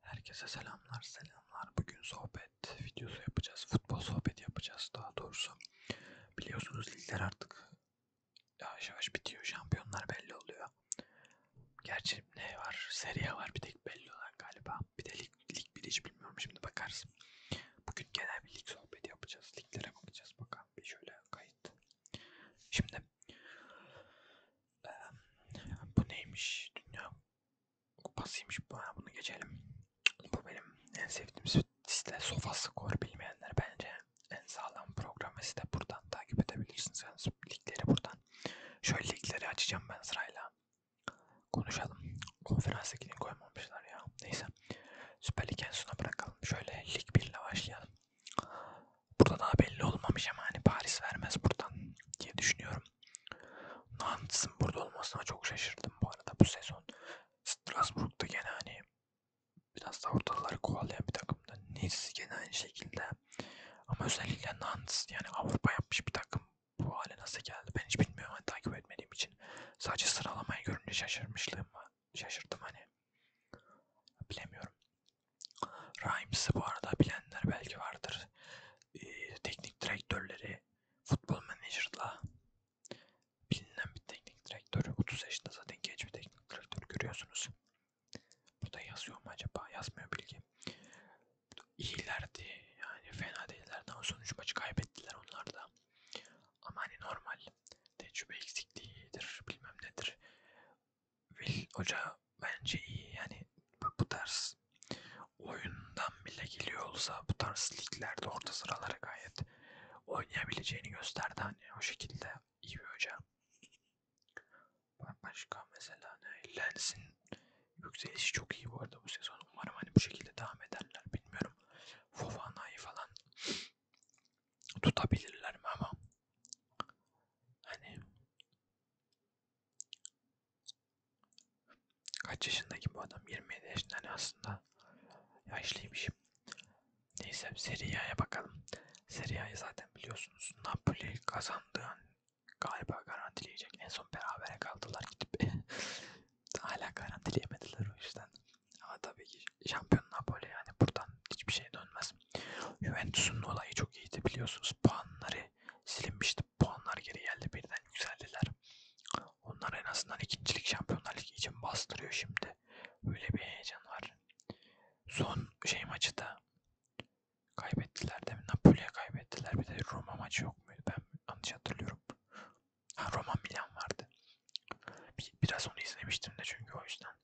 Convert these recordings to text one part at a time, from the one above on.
Herkese selamlar selamlar bugün sohbet videosu yapacağız futbol sohbeti yapacağız daha doğrusu biliyorsunuz ligler artık yavaş yavaş bitiyor şampiyonlar belli oluyor gerçi ne var seriye var bir tek belli olan galiba bir de lig, lig biri hiç bilmiyorum şimdi bakarız bugün genel bir lig sohbeti yapacağız liglere bakacağız bakalım bir şöyle kayıt şimdi ee, bu neymiş? Dünya kupasıymış. Bunu geçelim. Bu benim en sevdiğim site SofaScore bilmeyenler bence en sağlam program ve site buradan takip edebilirsiniz. Yani ligleri buradan. Şöyle ligleri açacağım ben sırayla. Konuşalım. Konferans ligini koymamışlar ya. Neyse. Süper Lig en sona bırakalım. Şöyle Lig 1 ile başlayalım. Burada daha belli olmamış ama hani Paris vermez buradan diye düşünüyorum. Nants'ın burada olmasına çok şaşırdım bu arada bu sezon. Strasbourg'da gene hani biraz da ortaları kovalayan bir takımda. Nice gene aynı şekilde. Ama özellikle Nantes yani Avrupa yapmış bir takım bu hale nasıl geldi ben hiç bilmiyorum hani takip etmediğim için. Sadece sıralamayı görünce şaşırmışlığım var. Şaşırdım hani. Bilemiyorum. Rahims'i bu arada bilenler belki vardır. Ee, teknik direktörleri futbol menajerla bilinen bir teknik direktör. 30 yaşında zaten genç bir teknik direktör görüyorsunuz. Burada yazıyor mu acaba? Yazmıyor bilgi. İyilerdi. Yani fena değillerdi ama sonuç maçı kaybettiler onlar da. Ama hani normal. Tecrübe eksikliğidir. Bilmem nedir. Will Hoca bence iyi yani bu, bu tarz oyundan bile geliyor olsa bu tarz liglerde orta sıralara gayet oynayabileceğini gösterdi hani o şekilde iyi bir hoca. Başka mesela ne? Lens'in yükselişi çok iyi bu arada bu sezon. Umarım hani bu şekilde devam ederler bilmiyorum. Fofana'yı falan tutabilirler mi ama hani Kaç yaşındaki bu adam? 27 yaşında hani aslında yaşlıymışım. Neyse Serie A'ya bakalım. Serie A'yı zaten biliyorsunuz. Napoli kazandığı an hani galiba garantileyecek. En son berabere kaldılar gidip. Hala garantileyemediler o yüzden. Ama tabii ki şampiyon Napoli yani buradan hiçbir şey dönmez. Juventus'un olayı çok iyiydi biliyorsunuz. Puanları silinmişti. Puanlar geri geldi birden yükseldiler. Onlar en azından ikincilik şampiyonlar ligi için bastırıyor şimdi. Öyle bir heyecan var. Son şey maçı da kaybettiler değil mi? Napoli'ye kaybettiler. Bir de Roma maçı yok muydu? Ben yanlış hatırlıyorum. Ha Roma Milan vardı. Bir, biraz onu izlemiştim de çünkü o yüzden.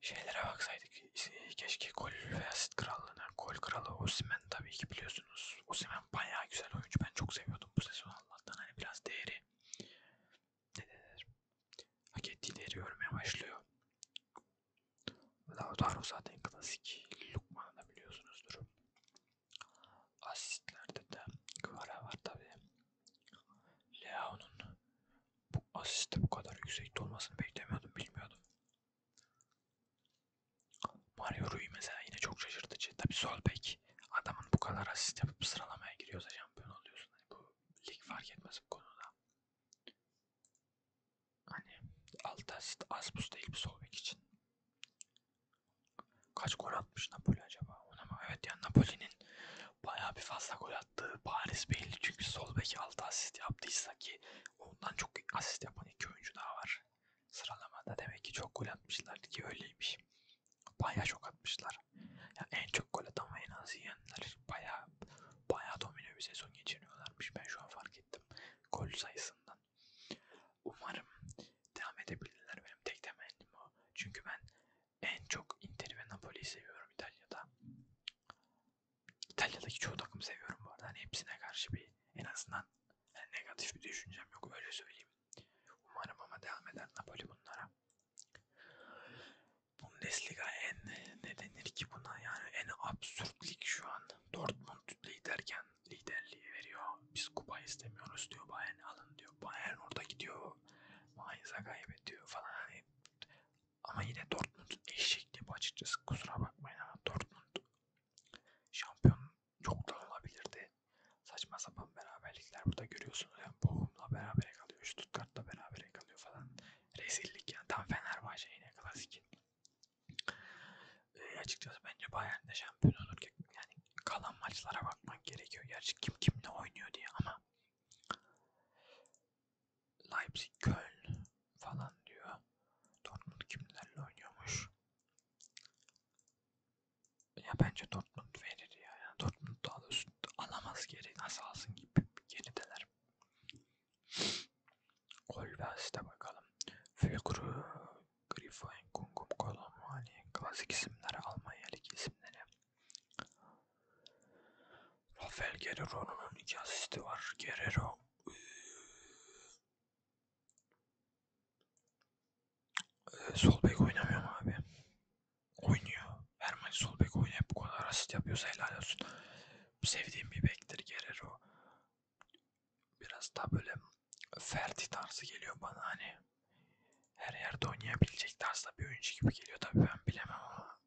Şeylere baksaydık keşke gol ve asist krallığına. Gol kralı Osimen tabii ki biliyorsunuz. Osimen bayağı güzel oyuncu. Ben çok seviyordum bu sezon Allah'tan. Hani biraz değeri ne denir? Hak ettiği değeri görmeye başlıyor. Lautaro zaten klasik. Lukman'ı da biliyorsunuzdur. Asistlerde de Kvara var tabii. Leao'nun bu asiste bu kadar yüksekte olmasını beklemiyordum, bilmiyordum. Mario Rui mesela yine çok şaşırtıcı. Tabi sol bek adamın bu kadar asist yapıp sıralamaya giriyorsa şampiyon oluyorsun. Hani bu lig fark etmez bu konuda. Hani 6 asist az buz değil bir sol bek için. Kaç gol atmış Napoli acaba? Ona mı? Evet yani Napoli'nin bayağı bir fazla gol attı. Paris belli çünkü sol bek 6 asist yaptıysa ki ondan çok asist yapan iki oyuncu daha var. Sıralamada demek ki çok gol atmışlar ki öyleymiş. Bayağı çok atmışlar. Yani en çok gol atan ve en az yiyenler bayağı bayağı domine bir sezon geçiriyorlarmış. Ben şu an fark ettim. Gol sayısından. Umarım devam edebilirler. Benim tek temennim o. Çünkü ben en çok Inter ve Napoli'yi seviyorum İtalya'da. İtalya'daki çoğu takım seviyorum bu arada. Hani hepsine karşı bir en azından yani negatif bir düşüncem yok öyle söyleyeyim. Umarım ama devam eder Napoli bunlara. Bundesliga en ne denir ki buna yani en absürt lig şu an. Dortmund liderken liderliği veriyor. Biz kupa istemiyoruz diyor Bayern alın diyor. Bayern orada gidiyor. Mainz'a kaybediyor falan. Hani ama yine Dortmund eşek gibi açıkçası kusura bakmayın ama Dortmund şampiyon yoktan olabilirdi. Saçma sapan beraberlikler burada görüyorsunuz. Yani Bochum'la berabere kalıyor, Stuttgart'la berabere kalıyor falan. Rezillik yani tam Fenerbahçe yine klasik. E, açıkçası bence Bayern'de şampiyon olurken yani kalan maçlara bakmak gerekiyor. Gerçi kim kimle oynuyor diye ama Leipzig, Köln falan diyor. Dortmund kimlerle oynuyormuş? Ya bence Dortmund verir ya. Yani Dortmund daha da üstü alamaz geri. Nasıl alsın gibi gerideler. Gol ve asiste bakalım. Fülkru, Grifoin, Kungum, Kolomani, klasik isimleri, Almanya Ligi isimleri. Rafael Guerrero'nun iki asisti var. Guerrero ee, sol bek oynamıyor mu abi? Oynuyor. Her maç sol bek oynayıp bu kadar asist yapıyorsa helal olsun. Sevdiğim bir bektir Guerrero. Biraz daha böyle Ferdi tarzı geliyor bana hani. Her yerde oynayabilecek tarzda bir oyuncu gibi geliyor. Tabii ben bilemem ama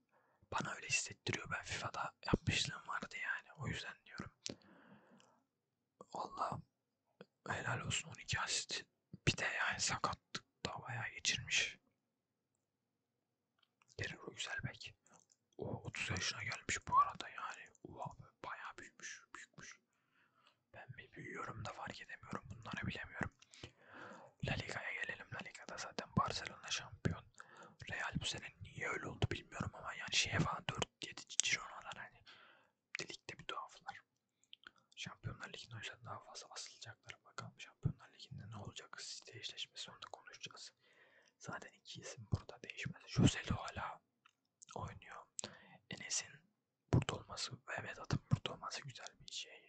bana öyle hissettiriyor. Ben FIFA'da yapmışlığım vardı yani. O yüzden diyorum. Allah helal olsun 12 asist. Bir de yani sakatlık da bayağı geçirmiş. Derin o güzel bek. O 30 yaşına gelmiş bu arada yani. Oha bayağı büyümüş. Büyükmüş. Ben mi büyüyorum da fark edemiyorum. Bunları bilemiyorum. La Liga'ya gelelim. La Liga'da zaten Barcelona şampiyon. Real bu sene niye öyle oldu bilmiyorum ama yani şeye falan 4-7 Girona'lar hani ligde bir tuhaflar. Şampiyonlar Ligi'ne o yüzden daha fazla asılacaklar. Bakalım Şampiyonlar Ligi'nde ne olacak? Site eşleşmesi orada konuşacağız. Zaten iki isim burada değişmez. Joselu hala oynuyor. Enes'in burada olması ve Vedat'ın burada olması güzel bir şey.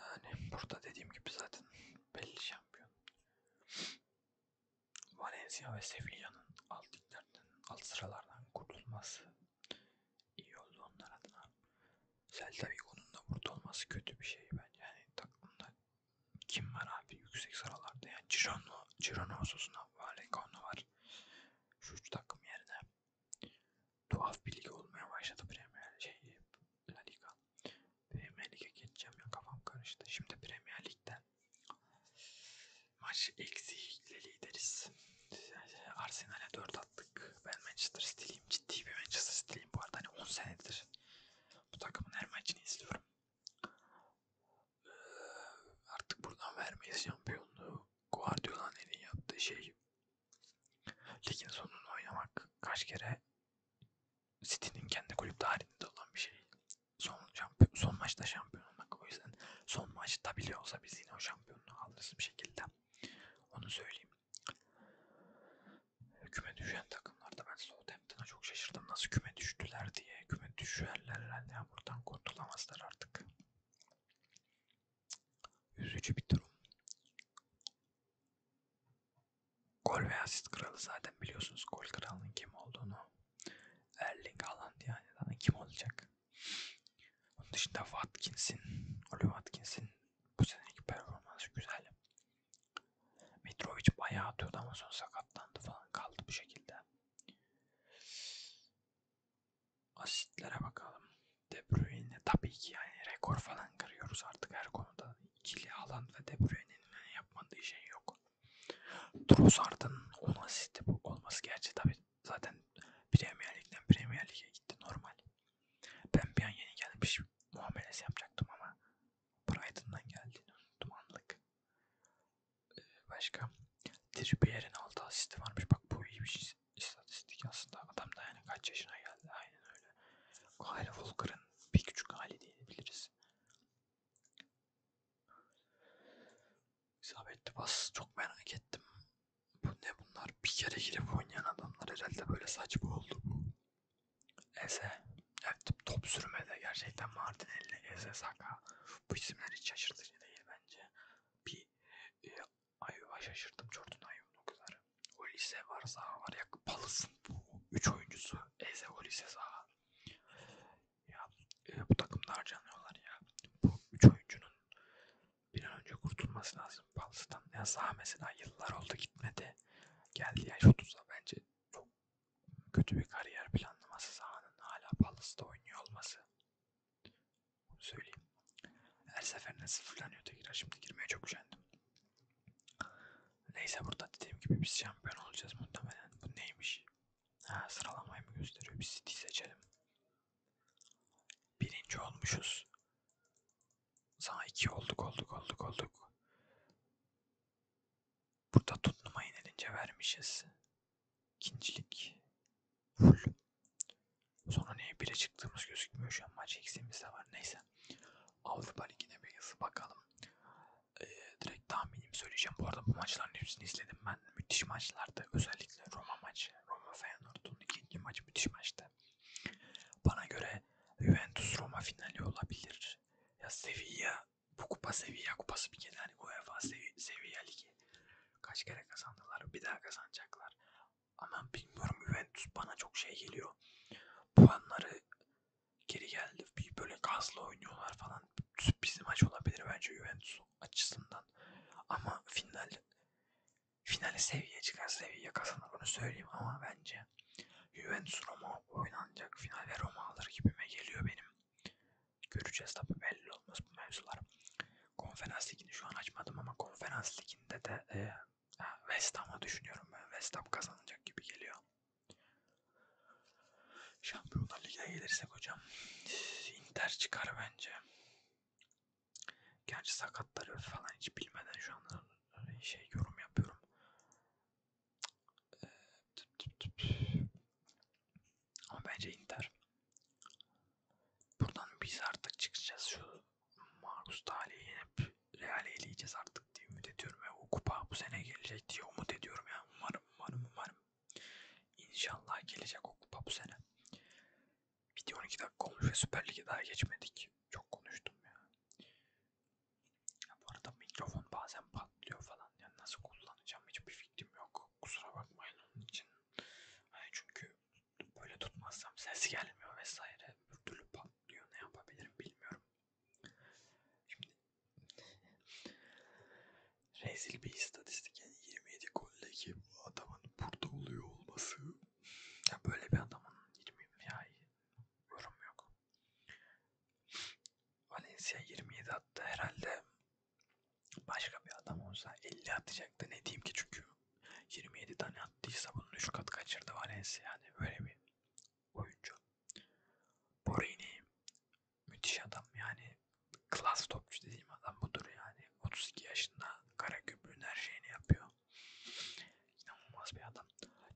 Yani burada dediğim gibi zaten belli şampiyon. Valencia ve Sevilla'nın alt liglerden, alt sıralardan kurtulması iyi oldu onlar adına. Celta Vigo'nun da burada olması kötü bir şey bence. Yani takımda kim var abi yüksek sıralarda yani Girona, Girona Osasuna, Vallecano var. Şu üç takım yerine Tuhaf bir lig olmaya başladı Premier şey, La Liga. Premier Lig'e geçeceğim ya kafam karıştı. Şimdi Premier Lig'den maç eksiyle lideriz. Arsenal'e 4 attık. Ben Manchester City'liyim. Ciddi bir Manchester City'liyim bu arada. Hani 10 senedir bu takımın her maçını izliyorum. Ee, artık buradan vermeyiz şampiyonluğu. Guardiola'nın en iyi yaptığı şey ligin sonunu oynamak. Kaç kere City'nin kendi kulüp tarihinde olan bir şey. Son, şampiyon, son maçta şampiyon olmak. O yüzden son maçta bile olsa biz yine o şampiyonluğu alırız bir şekilde. Onu söyleyeyim. Küme düşen takımlarda ben Southampton'a çok şaşırdım. Nasıl küme düştüler diye. Küme düşerler herhalde. Yani buradan kurtulamazlar artık. Üzücü bir durum. Gol ve asist kralı zaten biliyorsunuz gol kralının kim olduğunu. Erling Haaland yani daha kim olacak? Onun dışında Watkins'in, Oliver Watkins'in bu seneki performansı güzel. Mitrovic bayağı atıyordu ama sonra sakatlandı falan kaldı bu şekilde asitlere bakalım. De Bruyne tabii ki yani rekor falan kırıyoruz artık her konuda. İkili alan ve De Bruyne'nin hani yapmadığı şey yok. Trossard'ın 10 asisti bu olması gerçi tabii zaten Premier Lig'den Premier Lig'e gitti normal. Ben bir an yeni gelmiş muamelesi yapacaktım ama Brighton'dan geldiğini unuttum anlık başka Trippier'in 6 asisti varmış. Bak bu iyi bir istatistik aslında. Adam da yani kaç yaşına geldi. Aynen öyle. Kyle Walker'ın bir küçük hali diyebiliriz. İsabetli pas çok merak ettim. Bu ne bunlar? Bir kere girip oynayan adamlar herhalde böyle saçma oldu bu. Eze. Evet top sürmede gerçekten Martinelli, Eze, Saka. Bu isimler hiç şaşırtıcı değil bence bir e, Ayva şaşırdım Jordan Ayva'nın o kadar. Olise var saha var ya Pallas'ın bu 3 oyuncusu Eze Olise saha. Ya e, bu takımda harcanıyorlar ya. Bu 3 oyuncunun bir an önce kurtulması lazım Pallas'tan. Ya saha mesela yıllar oldu gitmedi. Geldi yaş 30'a bence çok kötü bir kariyer planlaması sahanın hala Pallas'ta oynuyor olması. Onu söyleyeyim. Her seferinde sıfırlanıyor tekrar. Şimdi girmeye çok üşendim. Neyse burada dediğim gibi biz şampiyon olacağız muhtemelen. Bu neymiş? Ha, sıralamayı mı gösteriyor? Biz City seçelim. Birinci olmuşuz. Sana iki olduk olduk olduk olduk. Burada tutnuma yenilince vermişiz. İkincilik. Full. Sonra neye bire çıktığımız gözükmüyor şu an. Maç eksiğimiz de var. Neyse. Avrupa Ligi'ne bir yazı bakalım. Ee, direkt tahminimi söyleyeceğim. Bu arada bu maçların hepsini izledim ben. Müthiş maçlardı. Özellikle Roma maçı. Roma Feyenoord'un ikinci maçı müthiş maçtı. Bana göre Juventus Roma finali olabilir. Ya Sevilla bu kupa Sevilla kupası bir kere hani UEFA Sevilla Ligi Kaç kere kazandılar bir daha kazanacaklar. Ama bilmiyorum Juventus bana çok şey geliyor. Puanları geri geldi. Bir böyle gazla oynuyorlar falan. Sürpriz maç olabilir bence Juventus açısından. Ama final finale seviye çıkar seviye kazanır onu söyleyeyim ama bence Juventus Roma oynanacak final ve Roma alır gibime geliyor benim göreceğiz tabi belli olmaz bu mevzular. Konferans ligini şu an açmadım ama konferans liginde de e, West Ham'a düşünüyorum ben. West Ham kazanacak gibi geliyor. Şampiyonlar Ligi'ne gelirsek hocam Inter çıkar bence. Gerçi sakatları falan hiç bilmeden şu anda e, şey yorum yapıyorum. E, ama bence Inter. Buradan biz artık çıkacağız. Şu Marcus Dali'yi yenip Real'i eleyeceğiz artık diye ümit ediyorum. Ve o kupa bu sene gelecek diye umut ediyorum ya. Umarım, umarım, umarım. İnşallah gelecek o kupa bu sene. Video 12 dakika olmuş ve Süper Lig'e daha geçmedik. Çok konuştum ya. ya. Bu arada mikrofon bazen patlıyor falan. Yani nasıl kullanacağım hiçbir fikrim yok kusura bakmayın onun için. Hani çünkü böyle tutmazsam ses gelmiyor vesaire. Bir türlü patlıyor ne yapabilirim bilmiyorum. Şimdi rezil bir istatistik yani 27 goldeki bu adamın burada oluyor olması. Ya böyle bir adamın 20 ya yorum yok. Valencia 27 attı herhalde Başka bir adam olsa 50 atacaktı ne diyeyim ki çünkü 27 tane attıysa bunun 3 kat kaçırdı Valencia yani böyle bir oyuncu. Borini müthiş adam yani klas topçu dediğim adam budur yani 32 yaşında kara gübrün her şeyini yapıyor. İnanılmaz bir adam.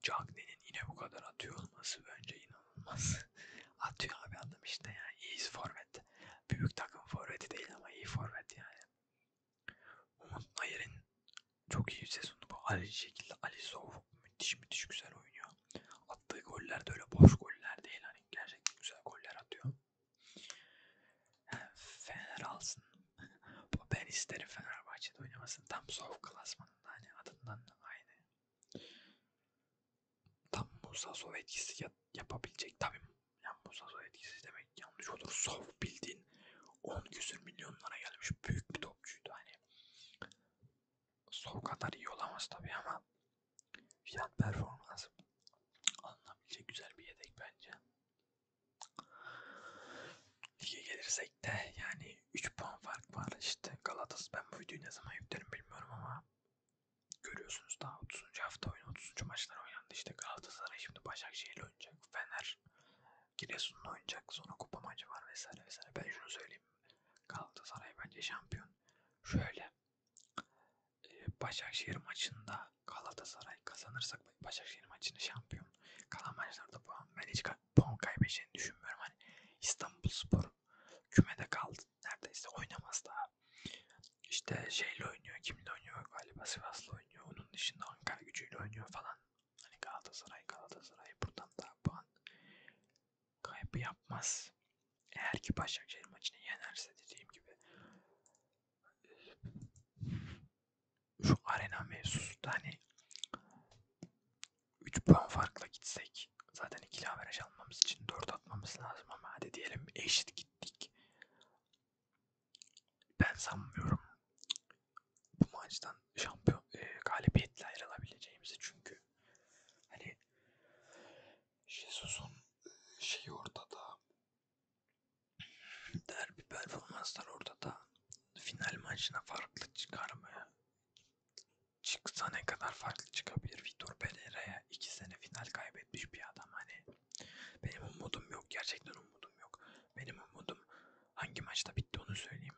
Cagney'in yine bu kadar atıyor olması bence inanılmaz. Atıyor abi adam işte yani. İyi forvet. Büyük takım forveti değil ama iyi forvet yani. Umut Nayir'in çok iyi bir sezonu bu. Aynı şekilde Ali Sov müthiş müthiş güzel oynuyor. Attığı goller de öyle boş goller değil. Hani gerçekten güzel goller atıyor. Yani Fener alsın. ben isterim Fenerbahçe'de oynamasın. Tam Sov klasmanında hani adından aynı. Tam Musa Sov etkisi yap yapabilecek tabii. Yani Musa Sov etkisi demek yanlış olur. Sov bildiğin 10 küsür milyonlara gelmiş büyük bir topçuydu hani. Sov kadar iyi olamaz tabii ama fiyat performans alınabilecek güzel bir yedek bence. Lige gelirsek de yani 3 puan fark var işte Galatas ben bu videoyu ne zaman yüklerim bilmiyorum ama görüyorsunuz daha 30. hafta oyunu 30. maçlar oynandı. İşte Galatasaray şimdi Başakşehir'le oynayacak. Fener Giresun'la oynayacak. Sonra kupa maçı var vesaire vesaire. Ben şunu söyleyeyim. Galatasaray bence şampiyon. Şöyle e, Başakşehir maçında Galatasaray kazanırsak Başakşehir maçını şampiyon. Kalan maçlarda puan. Ben hiç puan kaybedeceğini düşünmüyorum. Hani İstanbul Spor Kümede kaldı. Neredeyse oynamaz daha. İşte şeyle oynuyor. Kimle oynuyor? Galiba Sivas'la oynuyor. Onun dışında Ankara gücüyle oynuyor falan. Hani Galatasaray Galatasaray buradan da puan kaybı yapmaz. Eğer ki Başakşehir maçını yenerse dediğim gibi e, şu arena mevzusu da hani 3 puan farkla gitsek zaten ikili averaj almamız için 4 atmamız lazım ama hadi diyelim eşit gittik. Ben sanmıyorum bu maçtan şampiyon e, galibiyetle ayrılabileceğimizi çünkü hani Jesus'un şeyi ortada derbi performanslar ortada final maçına farklı çıkarmaya çıksa ne kadar farklı çıkabilir Vitor Pereira'ya 2 sene final kaybetmiş bir adam hani benim umudum yok gerçekten umudum yok benim umudum hangi maçta bitti onu söyleyeyim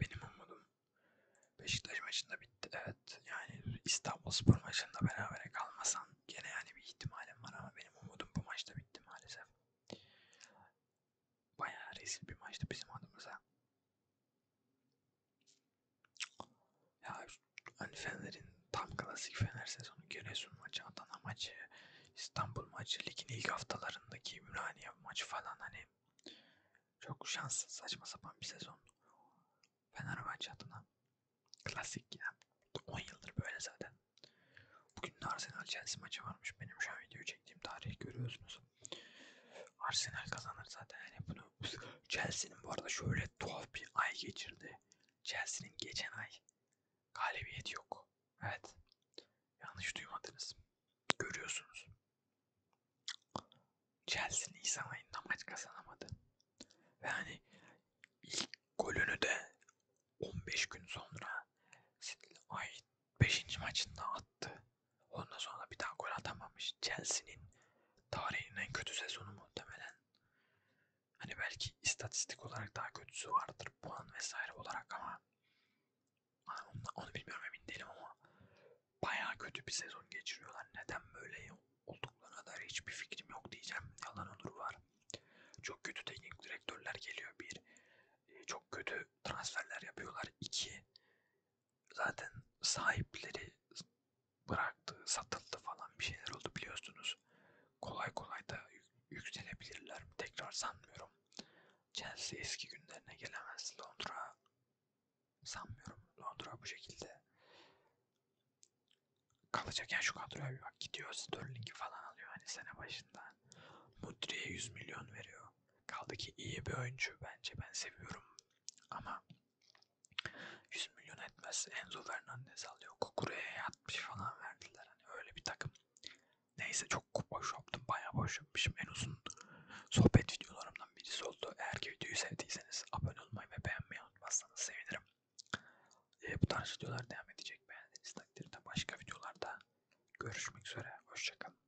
benim umudum Beşiktaş maçında bitti evet yani İstanbul Spor maçında berabere kalmasan gene yani bir ihtimalim var ama benim umudum bu maçta bitti maalesef bayağı rezil bir maçtı bizim adımıza ya hani Fener'in tam klasik Fener sezonu Giresun maçı, Adana maçı, İstanbul maçı, ligin ilk haftalarındaki Ümraniye maçı falan hani çok şanssız saçma sapan bir sezon. Fenerbahçe adına klasik ya. 10 yıldır böyle zaten. Bugün Arsenal Chelsea maçı varmış. Benim şu an video çektiğim tarihi görüyorsunuz. Arsenal kazanır zaten yani bunu. Chelsea'nin bu arada şöyle tuhaf bir ay geçirdi. Chelsea'nin geçen ay galibiyet yok. Evet. Yanlış duymadınız. Görüyorsunuz. Chelsea Nisan ayında maç kazanamadı. Ve hani ilk golünü de 15 gün sonra ay 5. maçında attı. Ondan sonra bir daha gol atamamış. Chelsea'nin tarihinin en kötü sezonu muhtemelen. Hani belki istatistik olarak daha kötüsü vardır puan vesaire olarak ama onu, onu bilmiyorum emin değilim ama bayağı kötü bir sezon geçiriyorlar. Neden böyle olduklarına dair hiçbir fikrim yok diyeceğim. Yalan olur var. Çok kötü teknik direktörler geliyor bir. E, çok kötü transferler yapıyorlar iki zaten sahipleri bıraktı, satıldı falan bir şeyler oldu biliyorsunuz. Kolay kolay da yükselebilirler mi tekrar sanmıyorum. Chelsea eski günlerine gelemez. Londra sanmıyorum. Londra bu şekilde kalacak. Yani şu kadroya bir bak gidiyor Sterling'i falan alıyor hani sene başında. Mudri'ye 100 milyon veriyor. Kaldı ki iyi bir oyuncu bence ben seviyorum ama 100 milyon etmez. Enzo Fernandez alıyor. Kukure'ye yatmış falan verdiler. Hani öyle bir takım. Neyse çok boş yaptım. Bayağı boş yapmışım. En uzun sohbet videolarımdan birisi oldu. Eğer ki videoyu sevdiyseniz abone olmayı ve beğenmeyi unutmazsanız sevinirim. E, bu tarz videolar devam edecek. Beğendiğiniz takdirde başka videolarda görüşmek üzere. Hoşçakalın.